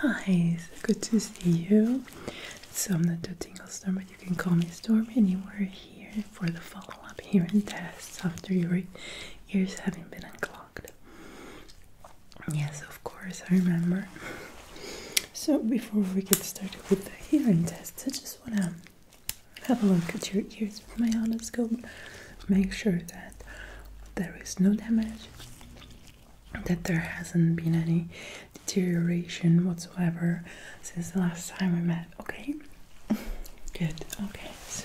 Hi, so good to see you. So I'm not the Tingle Storm, but you can call me Storm, Anywhere here for the follow-up hearing test after your ears having been unclogged. Yes, of course, I remember. So before we get started with the hearing test, I just want to have a look at your ears with my otoscope. Make sure that there is no damage that there hasn't been any deterioration whatsoever since the last time we met. Okay, good. Okay, so.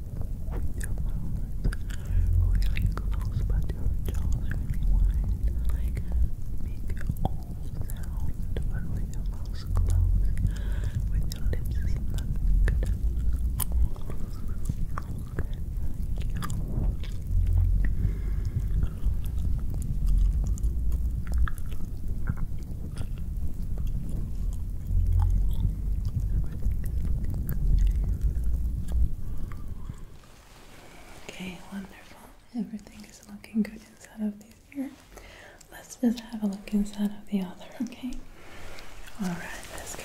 Your mouth really close, but your jaw's really wide. Like, make your own sound, but with your mouth closed, with your lips smacked. Thank you. Okay, wonderful. Everything is looking good inside of this ear. Let's just have a look inside of the other, okay? Alright, let's go. Okay.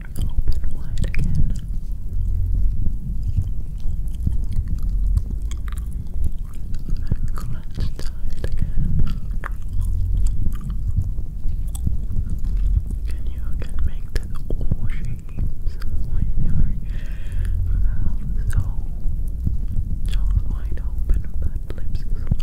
open wide again. And clutch tight again. Can you again make this all shapes with your mouth so jaws wide open but lips slammed?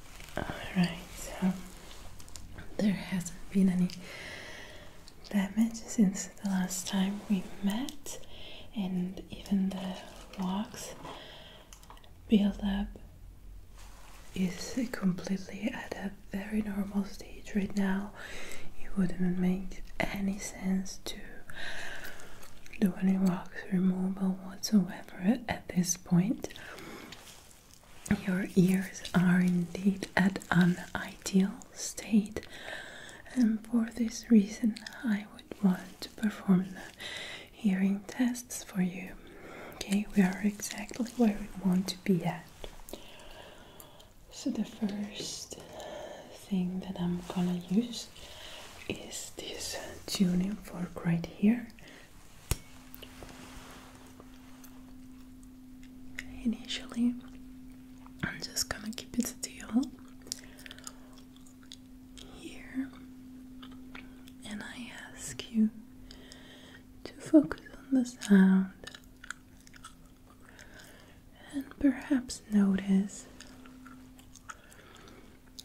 Alright, so there hasn't been any damage since the last time we met, and even the rocks build-up is completely at a very normal stage right now. It wouldn't make any sense to do any rocks removal whatsoever at this point, your ears are indeed at an ideal state, and for this reason, I would want to perform the hearing tests for you. Okay, we are exactly where we want to be at. So, the first thing that I'm gonna use is this tuning fork right here. Initially, I'm just gonna keep it still here, and I ask you to focus on the sound and perhaps notice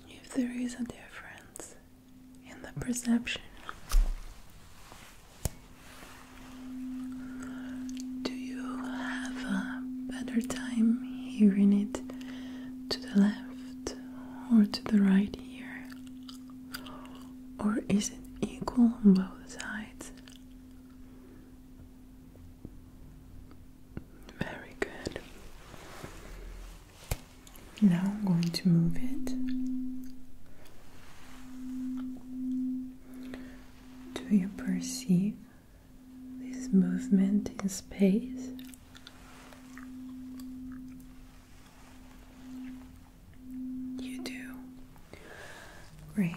if there is a difference and the perception. Do you have a better time hearing it to the left or to the right ear? Or is it equal on both sides? Very good. Now I'm going to move it. Do you perceive this movement in space? You do. Great.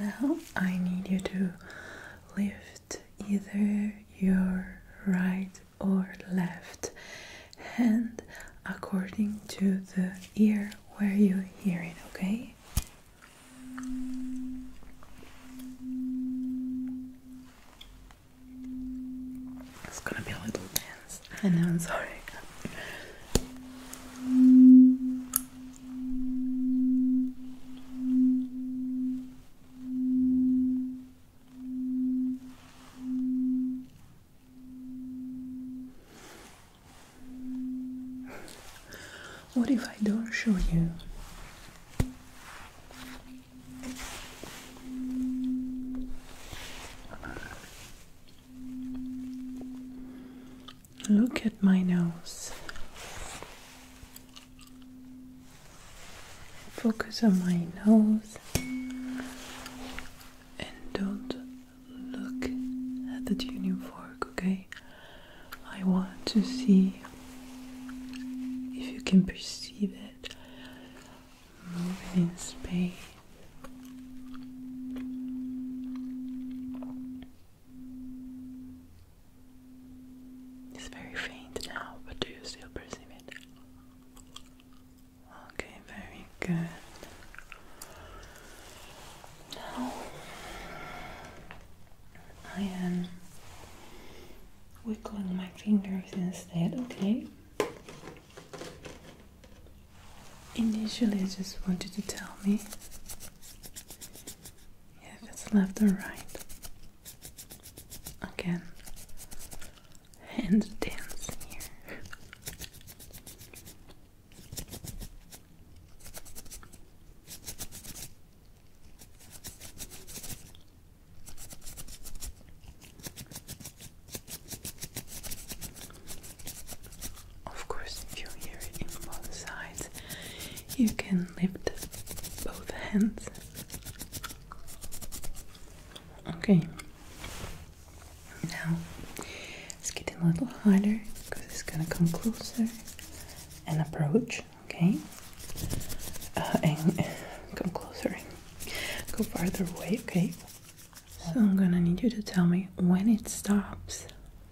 Now I need you to lift either your right or left hand according to the ear where you are hearing. okay? It's gonna be a little dance. I know, I'm sorry. What if I don't show you? Look at my nose. Focus on my nose and don't look at the tuning fork, okay? I want to see if you can perceive it moving in space. It's very faint now, but do you still perceive it? Okay, very good. Now I am wiggling my fingers instead, okay? Initially, I just wanted to tell me if it's left or right. Again, Hands dance here. Of course, if you hear it in both sides, you can lift both hands. Okay. Now it's getting a little harder because it's gonna come closer and approach. Okay. Uh, and come closer. Go farther away. Okay. So I'm gonna need you to tell me when it stops,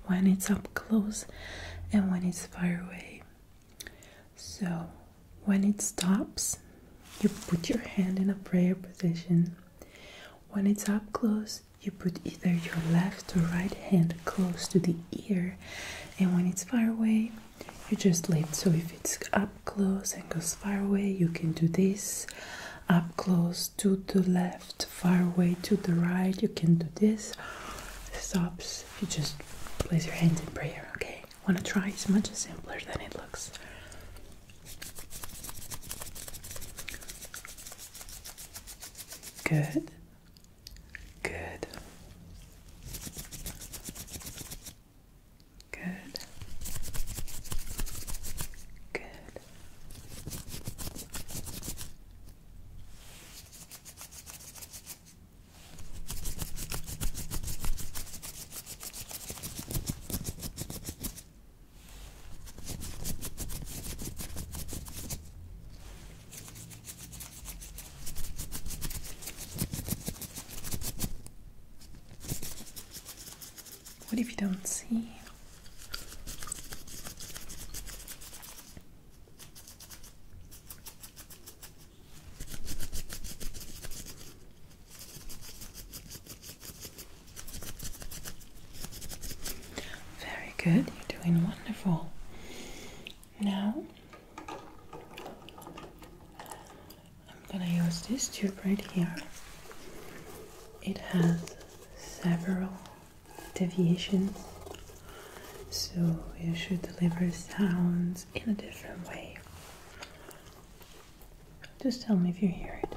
when it's up close, and when it's far away. So when it stops, you put your hand in a prayer position. When it's up close, you put either your left or right hand close to the ear, and when it's far away, you just lift. So if it's up close and goes far away, you can do this. Up close to the left, far away to the right, you can do this. Stops, you just place your hands in prayer, okay? I want to try. It's much simpler than it looks. Good. Good. Good. Good. What if you don't see? Very good, you're doing wonderful. Now, I'm gonna use this tube right here. It has several deviations, so you should deliver sounds in a different way. Just tell me if you hear it.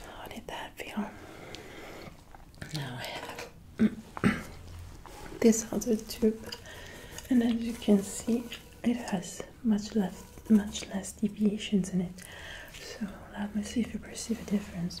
How did that feel? Now I have this other tube, and as you can see, it has much less, much less deviations in it. So let me see if you perceive a difference.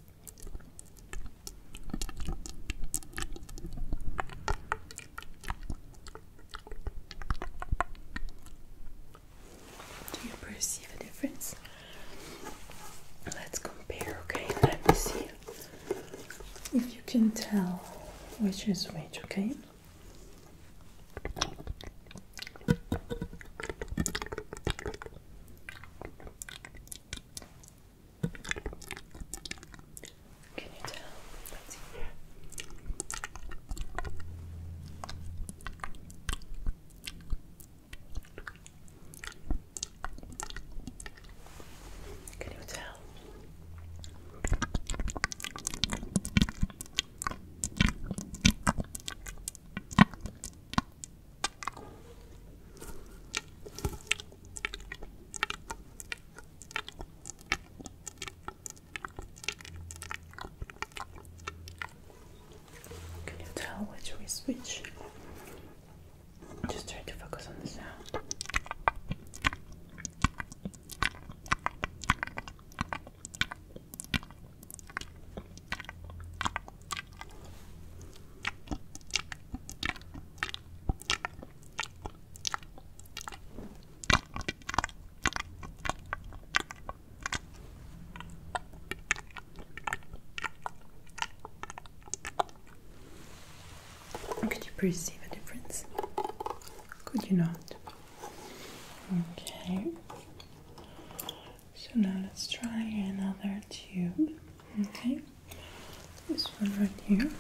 Do you perceive a difference? Let's compare, okay? Let me see if you can tell which is which, okay? Can you tell? Let's see here. Can you tell? Can you tell which is which? Just try to focus on the sound. Could you perceive a difference? Could you not? Okay. So now let's try another tube. Okay. This one right here.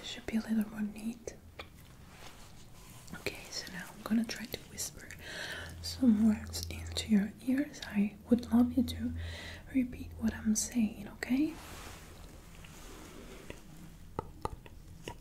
This should be a little more neat. Okay, so now I'm gonna try to whisper some words into your ears. I would love you to repeat what I'm saying, okay?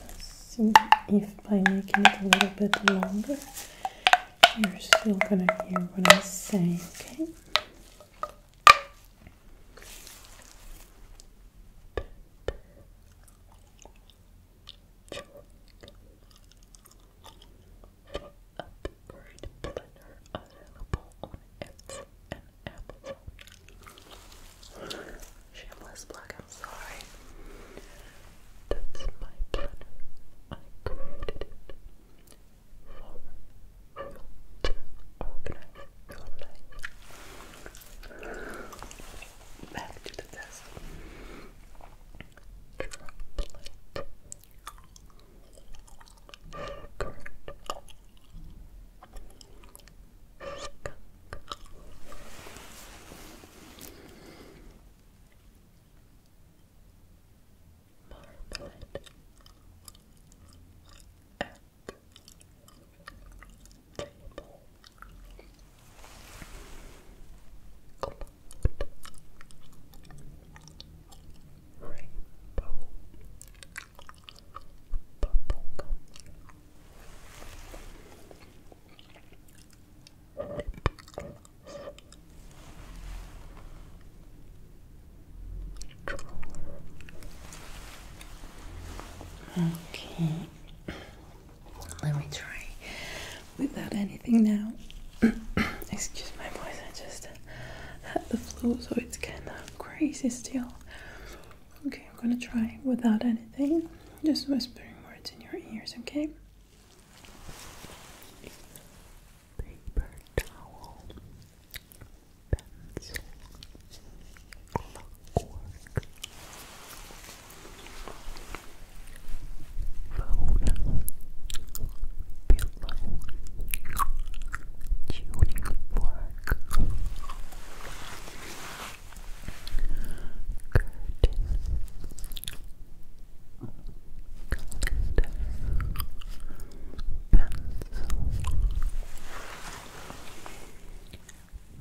Let's See if by making it a little bit longer, you're still gonna hear what I say, okay? upward planner available on Etsy and Amazon. Shameless plug, I'm sorry. That's my planner. I created it for you organize your life. Back to the test. Droplet Skunk. Skunk. Marmalade. At table rainbow Okay, let me try without anything now. Excuse my voice, I just just had the flu, so it's kind of crazy still. Okay, I'm gonna try without anything, just whispering words in your ears, okay? Paper towel, pencil, clockwork, phone, pillow, tuning fork, curtain, calendar, pencil,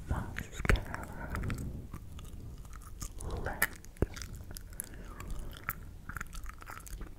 mascara, leg,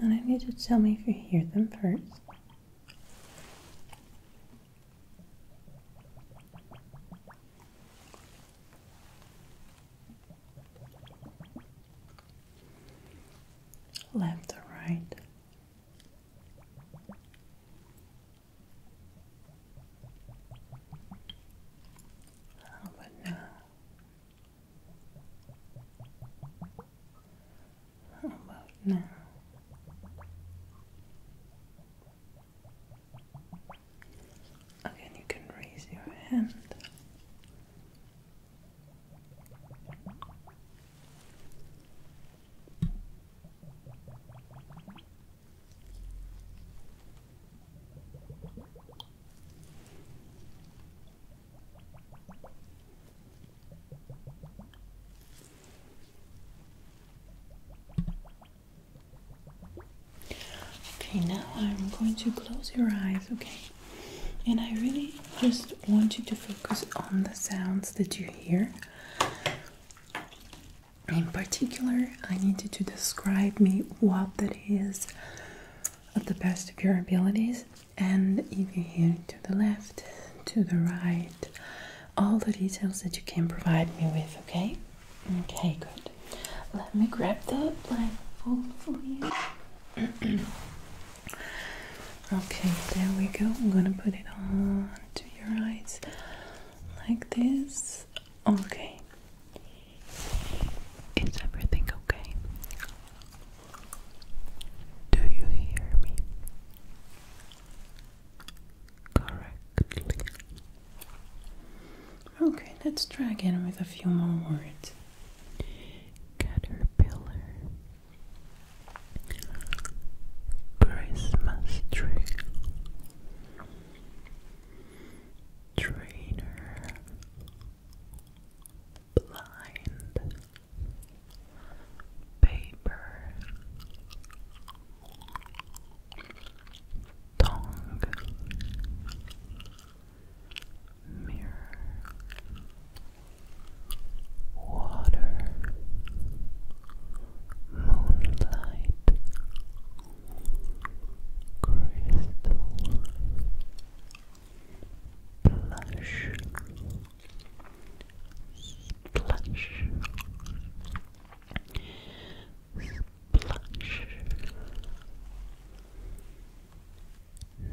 and I need to tell me if you hear them first. Left or right? How oh, now? How about now? Again, you can raise your hand. Okay, now I'm going to close your eyes, okay? And I really just want you to focus on the sounds that you hear. In particular, I need you to describe me what that is at the best of your abilities and if you hear to the left, to the right, all the details that you can provide me with, okay? Okay, good. Let me grab the blindfold for okay, there we go. I'm gonna put it on to your eyes like this. Okay. Is everything okay? Do you hear me correctly? Okay, let's try again with a few more words. Caterpillar, Christmas tree, trainer, blind paper, tongue, mirror, water, moonlight, crystal. Plush Splash. Splash.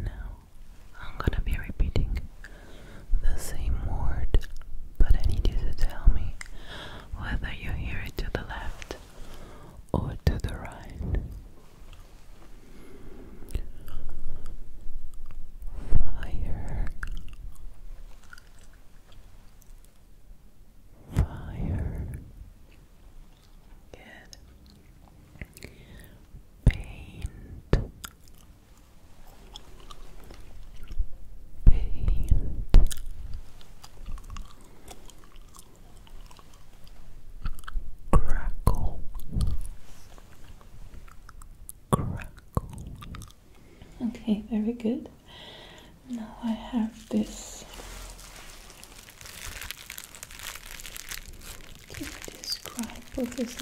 Now, I'm gonna be repeating the same word, but I need you to tell me whether you hear it to the left or to the right. Fire. Fire. Good. Paint. Paint. Crackle. Okay, very good. Now I have this. Can you describe what this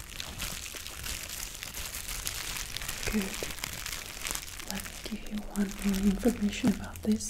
Good. Let me give you one more information about this.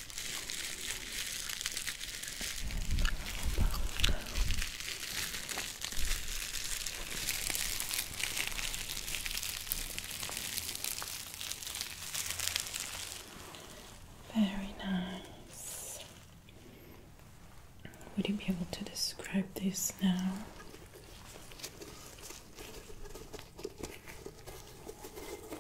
Very nice. Would you be able to describe this now?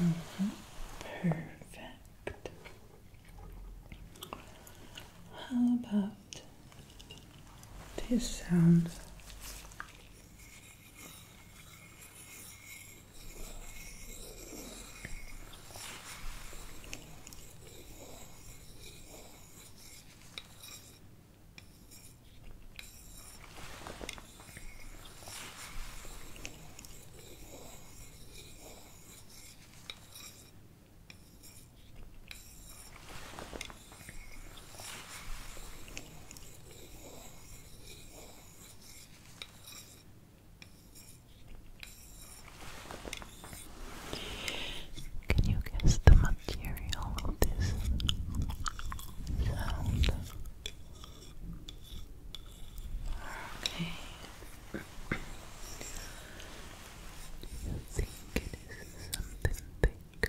Mm -hmm. Perfect. How about these sounds? Can you guess the material of this sound? Okay. Do you think it is something thick?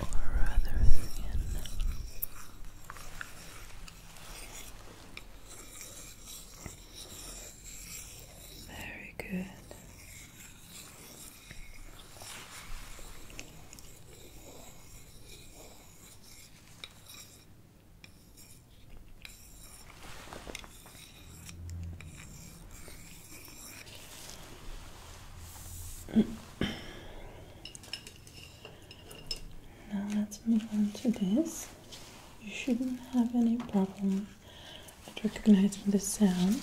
Or rather thin? Very good now let's move on to this. You shouldn't have any problem at recognizing the sound.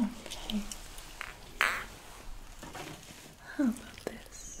Okay. How about this?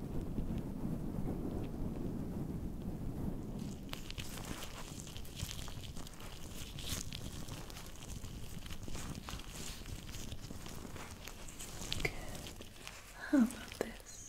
How about this?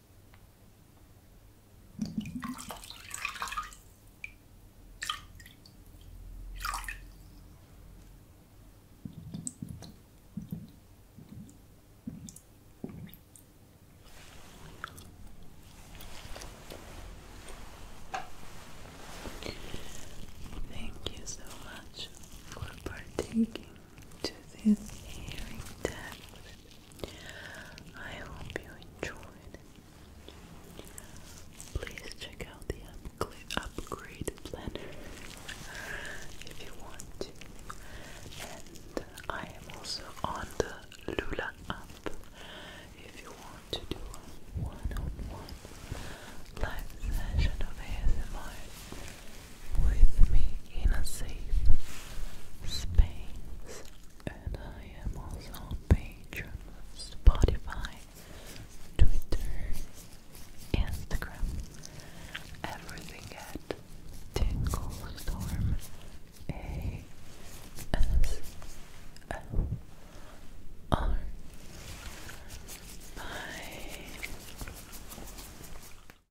Thank you so much for partaking to this hearing test. I hope you enjoyed. Please check out the upgrade planner if you want to. And I am also on the Lula app if you want to do a one -on -one live session of ASMR with me in a safe space. And I am also on Patreon, Spotify, Twitter, Instagram, everything at Tingle Storm